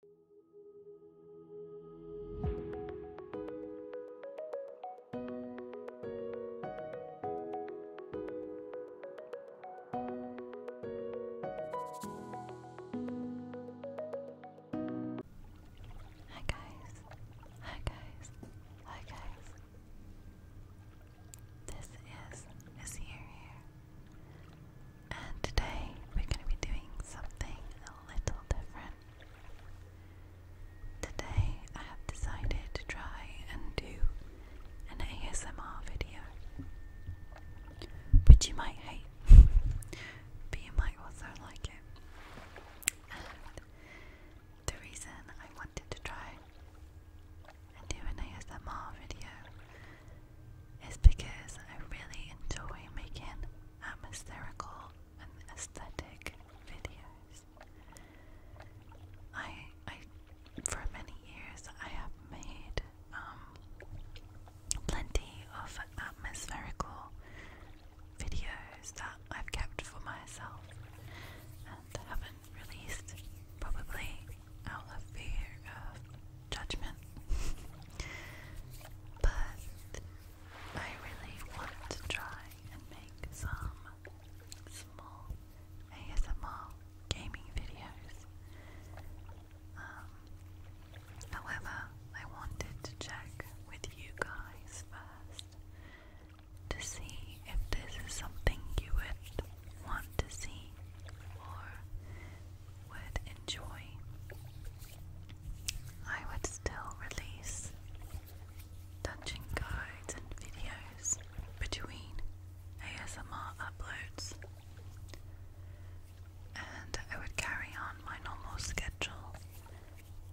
Hi guys, hi guys, hi guys. This is Missy here. And today we're going to be doing something a little different. Today I have decided to try and do an ASMR video, which you might hate, but you might also like it. the reason I wanted to try and do an ASMR video is because I really enjoy making atmospherical um, and aesthetic videos. I I for many years I have made um, plenty of atmospherical videos that I've kept for myself and haven't released probably out of fear of judgment. but I really want to try and make some small ASMR gaming videos. Um, however, I wanted to check with you guys first to see if this is something you would want to see or would enjoy, I would still release dungeon guides and videos between ASMR uploads, and I would carry on my normal schedule,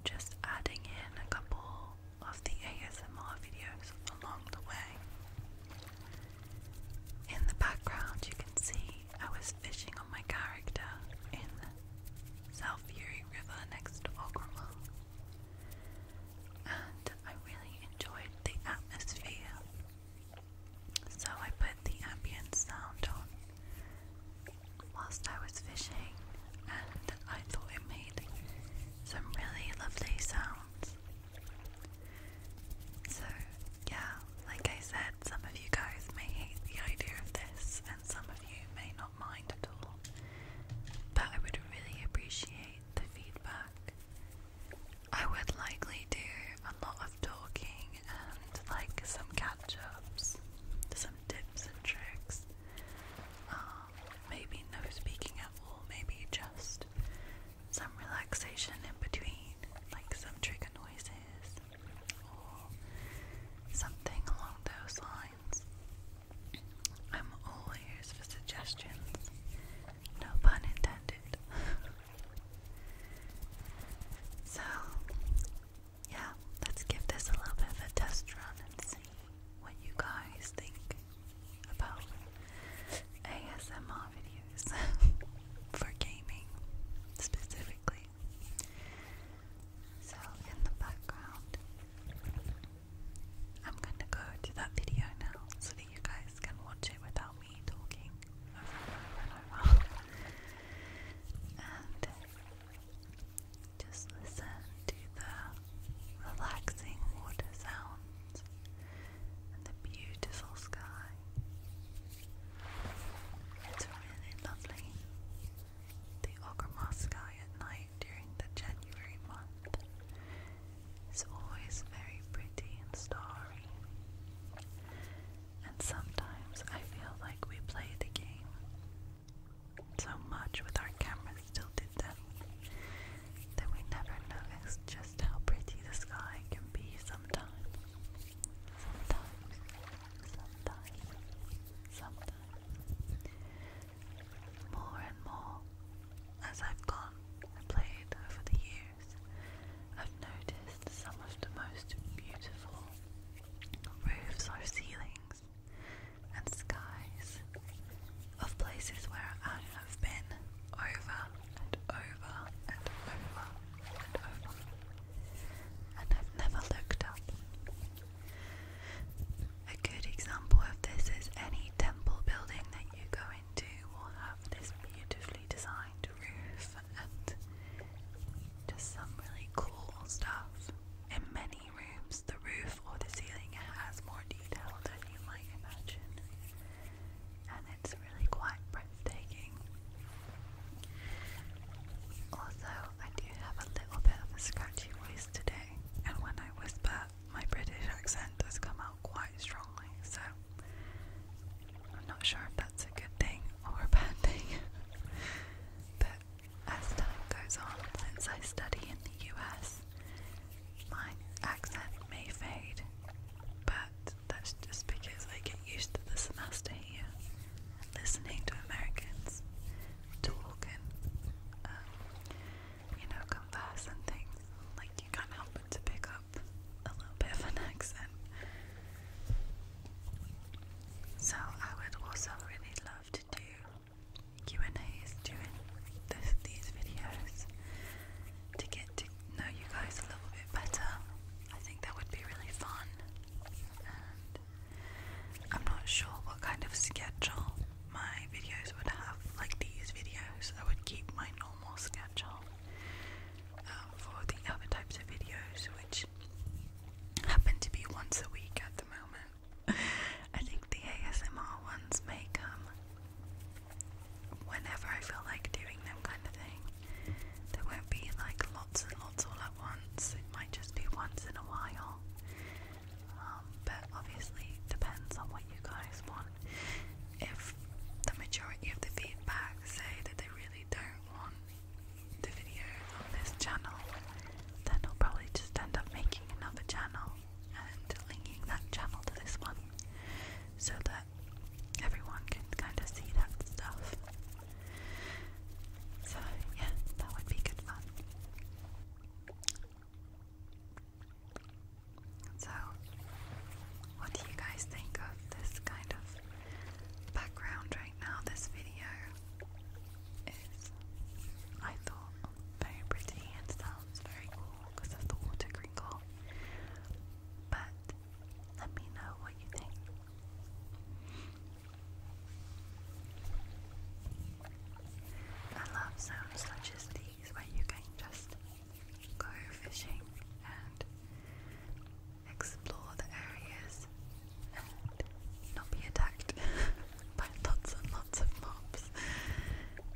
just adding in a couple of the ASMR videos along the way. In the background, you can see I was fishing on my character in South Fury River next to Ogrima, and I really enjoyed the atmosphere. So I put the ambient sound on whilst I was fishing, and I thought it made some really lovely sounds. So, yeah, like I said, some of you guys may hate the idea of this, and some of you may not mind at all, but I would really appreciate the feedback. I would likely do a lot of talking and like some catch ups, some tips and tricks. Um, maybe no speaking at all, maybe just some relaxation in between, like some trigger noises, or oh, something along those lines. I'm all for suggestions, no pun intended. so, yeah, let's give this a little bit of a test run and see what you guys think about ASMR videos for gaming specifically. So, in the background, I'm going to go to that video now so that you guys can watch it without me talking over and over and just listen to the relaxing water sounds and the beautiful sky. It's really lovely. The Ogre sky at night during the January month is always very pretty and starry. And sometimes I feel like we play the game so much with our cameras still did them that we never noticed just how pretty the sky can be sometimes. Sometimes sometimes, sometimes. More and more, as I've gone and played over the years, I've noticed some of the most beautiful roofs or ceilings and skies of places where I have been over and over and over and I've never looked up. A good example of this is any temple building that you go into will have this beautifully designed roof and just some really cool stuff. In many rooms, the roof or the ceiling has more detail than you might imagine, and it's really quite breathtaking. Also, I do have a little bit of a scratchy voice today, and when I whisper, my British accent does come out quite strongly, so I'm not sure if that's a good thing or a bad thing. but as time goes on, since I study in the US, my accent may fade, but that's just because I get used to the semester here, listening to Americans talking, um, you know, converse things. Like you can't help to pick up a little bit of an accent. So I would also really love to do Q and A's doing this, these videos to get to know you guys a little bit better. I think that would be really fun. Um, I'm not sure what kind of schedule my videos would have, like these videos. I would keep my normal schedule um, for the other types of videos, which happen to be once a week at the moment. I think the ASMR ones may come whenever I feel like doing them, kind of thing. There won't be like lots and lots of once, it might just be once in a while. Um, but obviously, depends on what you guys want. If the majority of the feedback say that they really don't want the video on this channel, then I'll probably just end up making another channel and linking that channel to this one so that everyone can kind of see that stuff. So, yeah, that would be good fun. So, what do you guys think of this kind of background right now? This video is, I thought, very pretty and sounds very cool because of the water crinkle. But let me know what you think. I love zones such as these where you can just go fishing and explore the areas and not be attacked by lots and lots of mobs.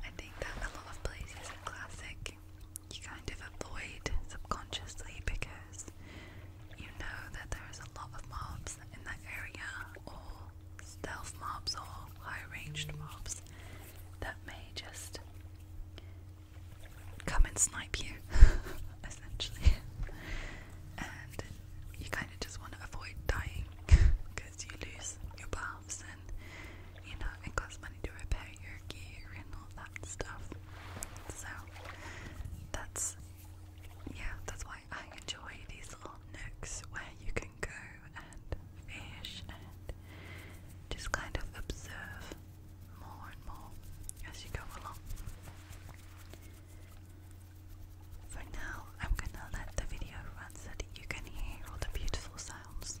I think that a lot of places in Classic you kind of avoid subconsciously because you know that there's a lot of mobs in that area, or stealth mobs, or high ranged mobs that may just come and snipe you, essentially. And you kind of just want to avoid dying because you lose your buffs and you know it costs money to repair your gear and all that stuff. So that's yeah, that's why I enjoy these little nooks where you can go and fish and just kind of observe more and more as you go along. For now, I'm gonna let the video run so that you can hear all the beautiful sounds.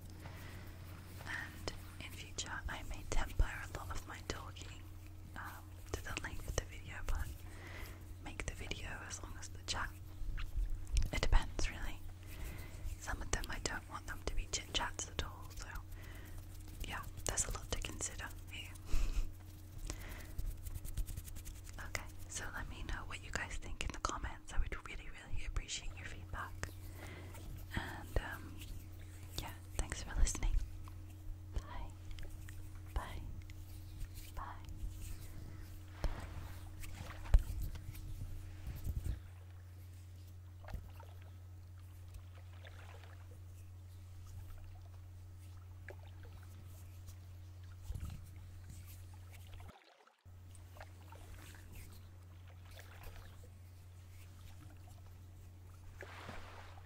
And in future, I may temper a lot of my talking uh, up to the length of the video, but make the video as long as the chat. It depends, really. Some of them I don't want them to be chit chats at all, so yeah, there's a lot to consider okay, so let me know what you guys think in the comments. I would really, really appreciate your feedback. And um, yeah, thanks for listening. Bye. Bye. Bye. Bye.